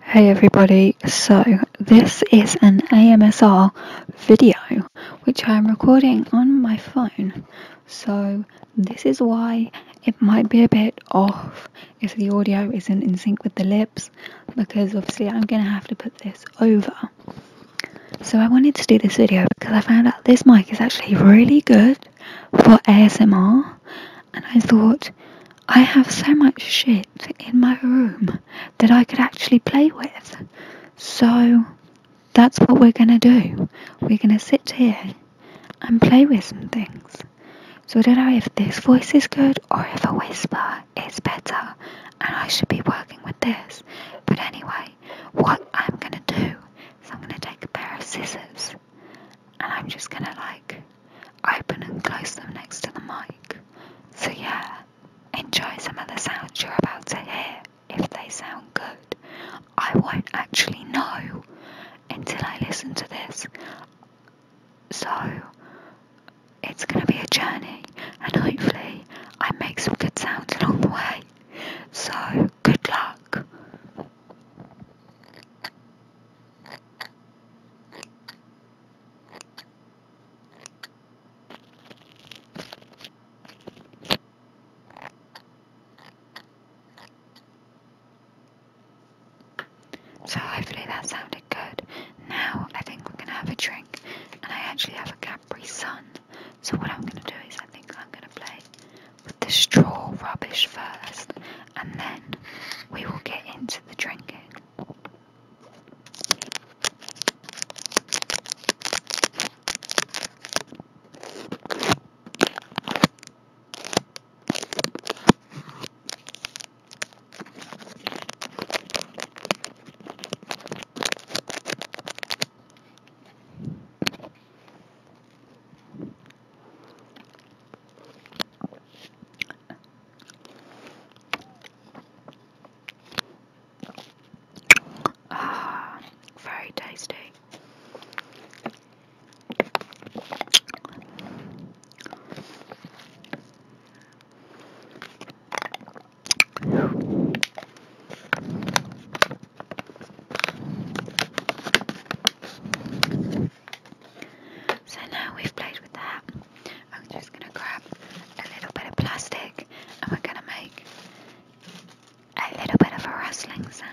Hey everybody, so this is an AMSR video which I'm recording on my phone. So this is why it might be a bit off if the audio isn't in sync with the lips because obviously I'm going to have to put this over. So I wanted to do this video because I found out this mic is actually really good for ASMR and I thought I have so much shit in my room that I could actually play with. So that's what we're going to do. We're going to sit here and play with some things. So I don't know if this voice is good or if a whisper is better and I should be working with this. But anyway, what I'm gonna do is I'm gonna take a pair of scissors and I'm just gonna like open and close them next to the mic. So yeah, enjoy some of the sounds you're about to hear if they sound good. I won't actually know until I listen to this. So it's going to be a journey, and hopefully, I make some good sounds along the way. So, good luck. So, hopefully, that sounded good. Now I think we're gonna have a drink, and I actually have a Capri Sun. So what I'm gonna do is I think I'm gonna play with the straw rubbish first, and then we will get into the drinking. Ah, very tasty. So now we've played with that, I'm just going to grab a little bit of plastic and we're going to make a little bit of a rustling sound.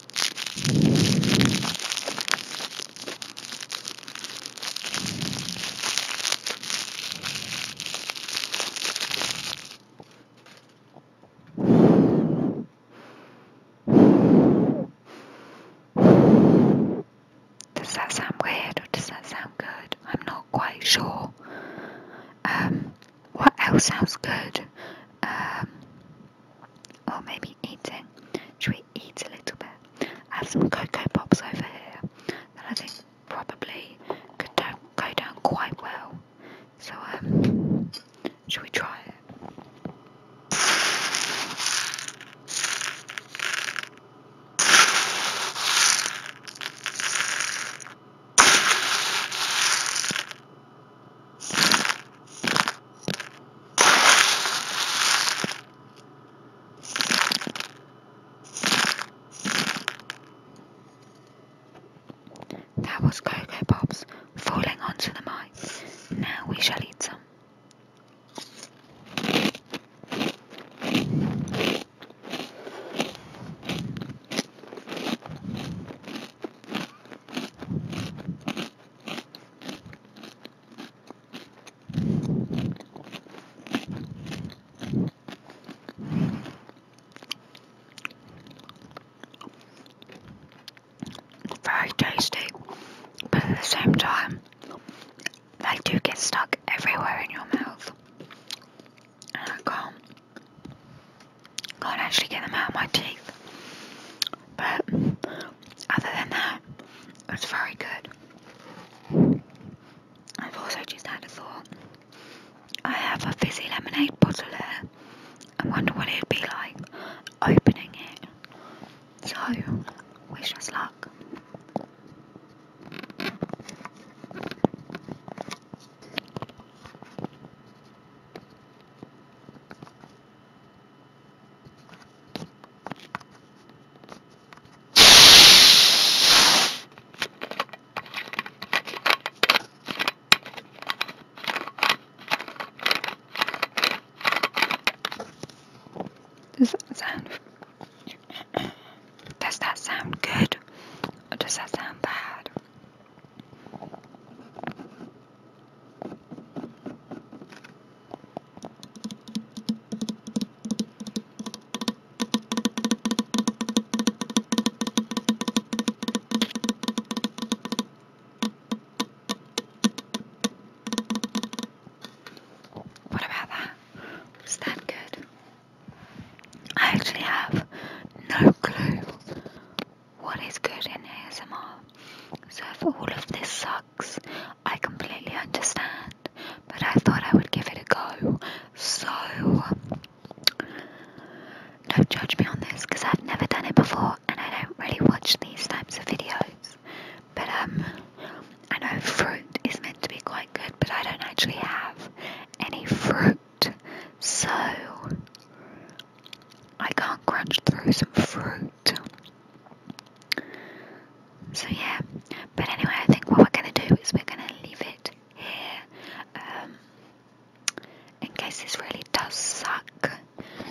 Does that sound weird or does that sound good? I'm not quite sure. Um, what else sounds good? Um, or maybe eating. Should we eat a little bit? I have some cocoa pops over here that I think probably could go down quite well. So um, should we try it? That was Cocoa Pops falling onto the mic. Now we shall eat some. Very tasty, but at the same time, they do get stuck everywhere in your mouth. I can't can't actually get them out of my teeth. But other than that, it's very good. I've also just had a thought. I have a fizzy lemonade bottle here. I wonder what it'd be like opening it. So, wish us luck. Is that the sound? does that sound good or does that sound bad? What about that? that good? I actually have no clue what is good in ASMR. So if all of this sucks, I completely understand. But I thought I would give it a go. So don't judge me on this because I've never done it before and I don't really watch these types of videos. But um, I know fruit is meant to be quite good, but I don't actually have any fruit, so I can't crunch through some fruit. So yeah, but anyway, I think what we're gonna do is we're gonna leave it here. Um, in case this really does suck,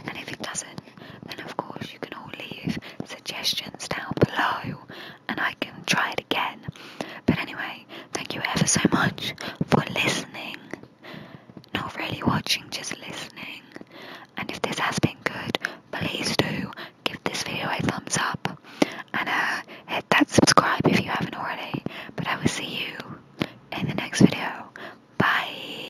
and if it doesn't, then of course you can all leave suggestions down below and I can try it again. But anyway, thank you ever so much for listening. Not really watching, just listening. And if this has been good, please do give this video a thumbs up and uh, hit that subscribe if you haven't already. But I will see you in the next video. Bye.